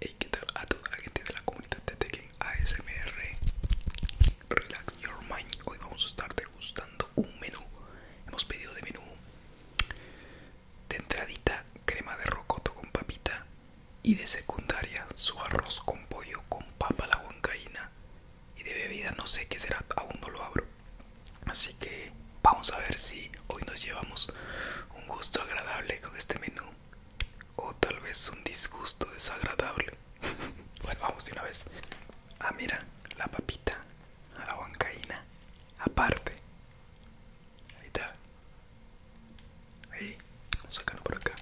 Hey, ¿qué tal a toda la gente de la comunidad de Tekken ASMR? Relax your mind. Hoy vamos a estar degustando un menú. Hemos pedido de menú de entradita crema de rocoto con papita y de secundaria su arroz con pollo con papa la huancaína y de bebida no sé qué será, aún no lo abro. Así que vamos a ver si hoy nos llevamos un gusto agradable con este menú o tal vez un disgusto desagradable. bueno, vamos de una vez. Ah, mira, la papita, a la bancaína, aparte. Ahí está. Ahí, vamos a sacarlo por acá.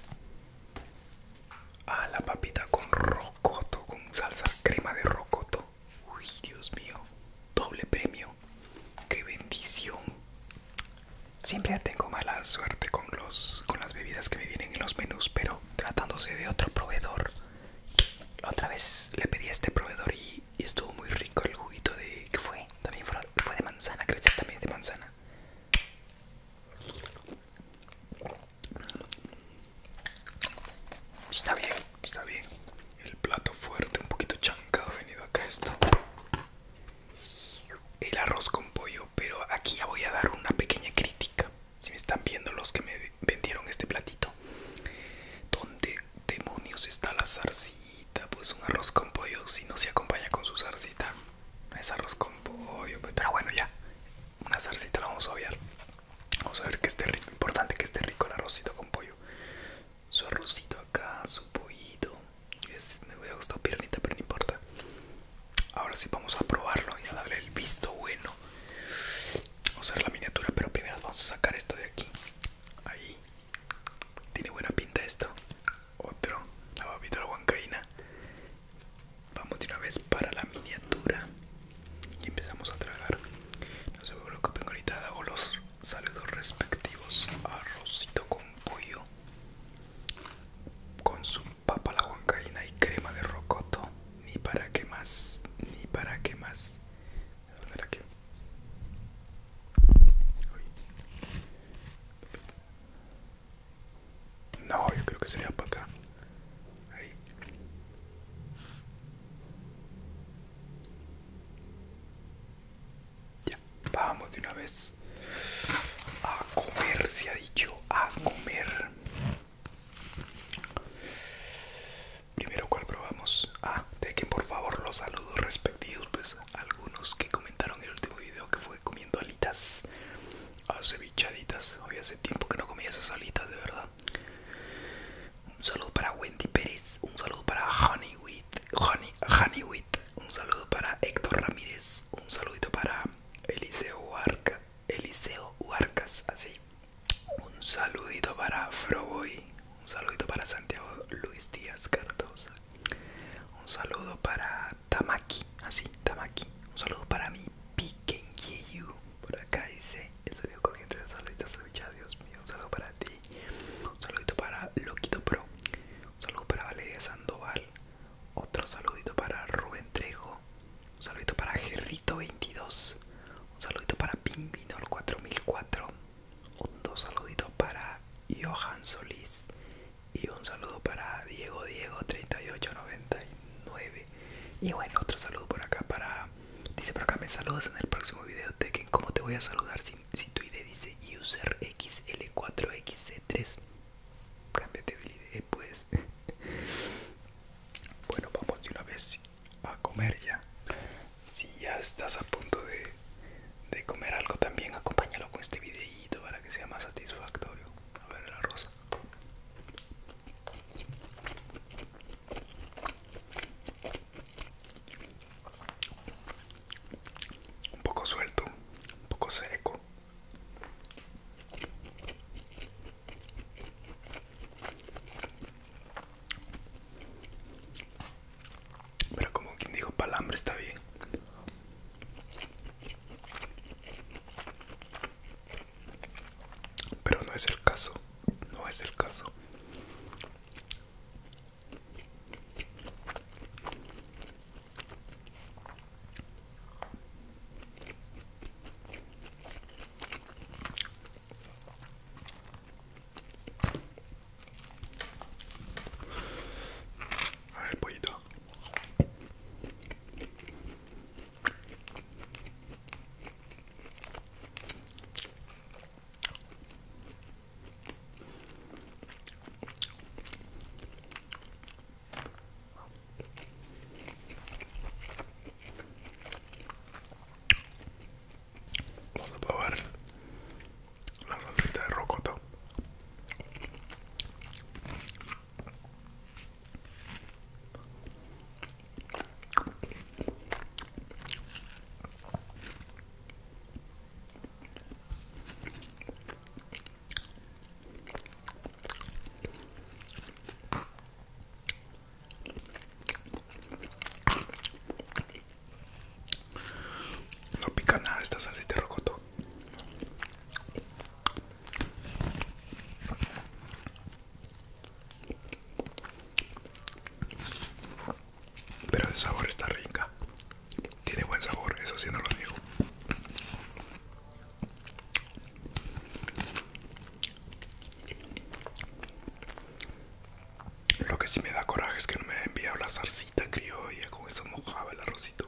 Ah, la papita con rocoto, con salsa crema de rocoto. Uy, Dios mío, doble premio qué bendición. Siempre tengo mala suerte con los con las bebidas que me vienen en los menús, pero tratándose de otro proveedor. Otra vez le pedí a este proveedor y, estuvo muy rico el juguito de que fue, también fue, de manzana, creo que también de manzana. Está bien. Está bien. El plato fuerte, un poquito chancado venido acá esto. El arroz con pollo, pero aquí ya voy a dar una pequeña crítica. Si me están viendo los que me vendieron este platito. ¿Dónde demonios está la zarcita? Pues un arroz con pollo si no se acompaña con su zarcita. Es arroz con pollo, pues, pero bueno ya. Una zarcita la vamos a obviar. Vamos a ver que esté rico. Importante que esté rico el arrocito con pollo su arrocito acá, su pollito. Es, me hubiera gustado piernita, pero no importa. Ahora sí vamos a probarlo y a darle el visto bueno. Vamos a hacer la miniatura, pero primero vamos a sacar esto de aquí. Ahí. Tiene buena pinta esto. Otro. La babita la Vamos de una vez para la miniatura. Y empezamos a tragar. No se tengo ahorita hago los saludos respectivos arrocito con pollo con su papa la huancaína y crema de rocoto ni para qué más ni para qué más ¿Dónde era no yo creo que sería para acá ahí ya, vamos de una vez a comer, se ha dicho, a comer. Primero, ¿cuál probamos? Ah, dejen por favor los saludos respectivos, pues algunos que comentaron en el último video que fue comiendo alitas, acevichaditas. Hoy hace tiempo que no comía esas alitas, de verdad. Un saludo para Wendy Pérez. Un saludo para Honey, Wheat, Un saludo para Héctor Ramírez. Un saludito para Eliseo Uarca. Eliseo Uarcas, así. Un saludito para Froboy. Un saludito para Santiago Luis Díaz Cardosa. Un saludo para Tamaki, así, Tamaki. Un saludo para mi Pikenyeyu. Por acá dice el sonido corriente de Saludita Dios mío, un saludo para ti. Un saludito para Loquito Pro. Un saludo para Valeria Sandoval. Otro saludito para Rubén Trejo. Un saludito para Gerrito22. Un saludito para Pingbinol4004. Dos saluditos para Johan Solís. Y un saludo para Diego Diego3899. Y bueno, otro saludo por acá para Dice por acá, me saludas en el próximo video, Tekken. ¿Cómo te voy a saludar si, tu ID dice user XL4XC3? Cámbiate de ID, pues. bueno, vamos de una vez a comer ya. Si ya estás a punto de, de comer algo también, acompáñalo con este videito para que sea más satisfactorio. A ver la rosa. Un poco suelto, un poco seco. Pero como quien dijo palambre está bien. Pero no es el caso no es el caso a ver el pollito Vamos a probar la salsita de rocoto. No pica nada esta salsita rocoto. Pero el sabor está rica. Tiene buen sabor, eso sí no lo digo. Lo que sí me da coraje es que no me ha enviado la salsita criolla, con eso mojaba el arrocito.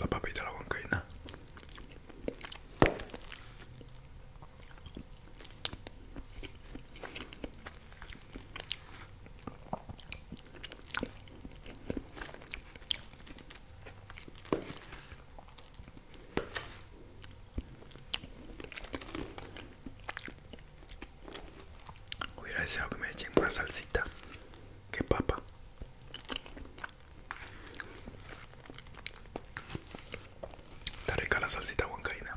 la papita, la bancaína. Hubiera deseado que me echen una salsita ¿Qué papa. Está rica la salsita huancaina.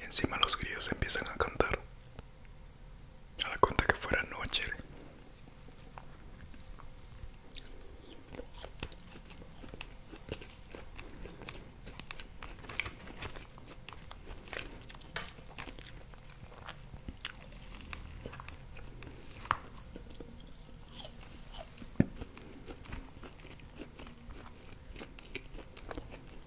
Encima los grillos empiezan a cantar. A la cuenta que fuera noche.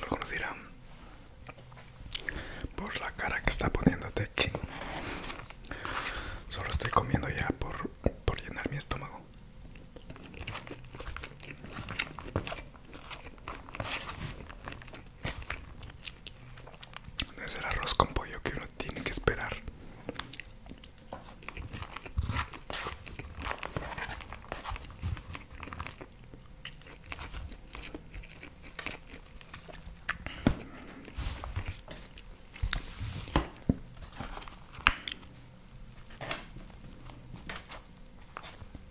Lo conocerán por la cara que está poniéndote aquí. Solo estoy comiendo ya por, por llenar mi estómago. No es el arroz con pollo que uno tiene que esperar.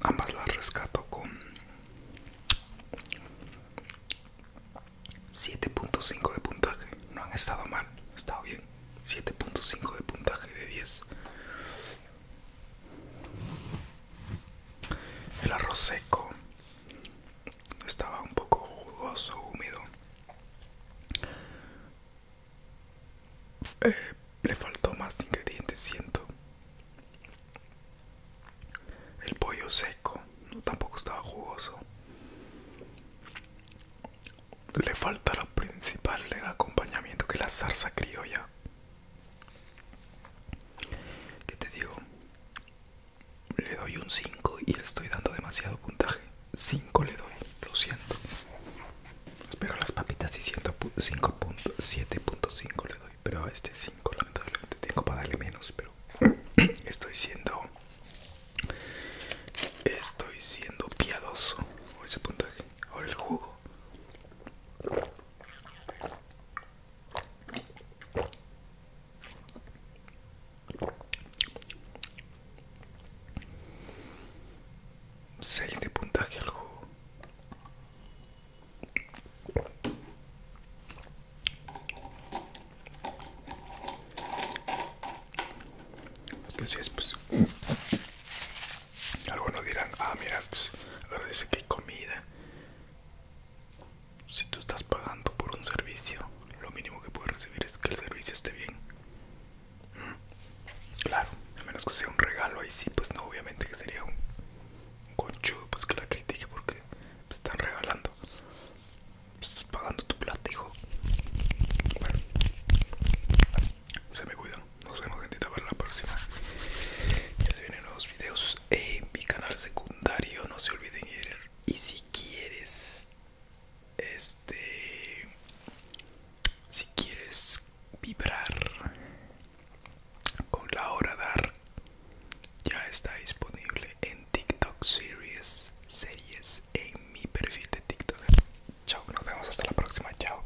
Ambas las rescato con 7.5 de puntaje. No han estado mal, estado bien. 7.5 de puntaje de 10. El arroz seco estaba un poco jugoso, húmedo. Eh, le faltó más ingredientes, siento. El pollo seco no, tampoco estaba jugoso. Le falta lo principal, el acompañamiento, que es la salsa criolla. ¿Qué te digo? le doy un 5 y le estoy dando demasiado puntaje. 5 le doy, lo siento. Espero las papitas y 5.7.5 le doy, pero a este 5 lamentablemente tengo para darle menos, pero estoy siendo estoy siendo piadoso con ese puntaje. Ahora el jugo. Seis de puntaje al juego. Así es, pues. Algunos dirán, ah, mira, pues, ahora dice que hay comida si tú estás pagando por un servicio, lo mínimo que puedes recibir es que el servicio esté bien. Mm. Claro, a menos que sea un regalo, ahí sí, pues no, obviamente que sería un, pues que la critique porque te están regalando. Estás pagando tu plata, Bueno, se me cuidan. Nos vemos, gentita, para la próxima. Ya se vienen nuevos videos en mi canal secundario. No se olviden ir y si quieres este si quieres vibrar con la hora dar ya está disponible en TikTok series series en mi perfil de TikTok chao nos vemos hasta la próxima chao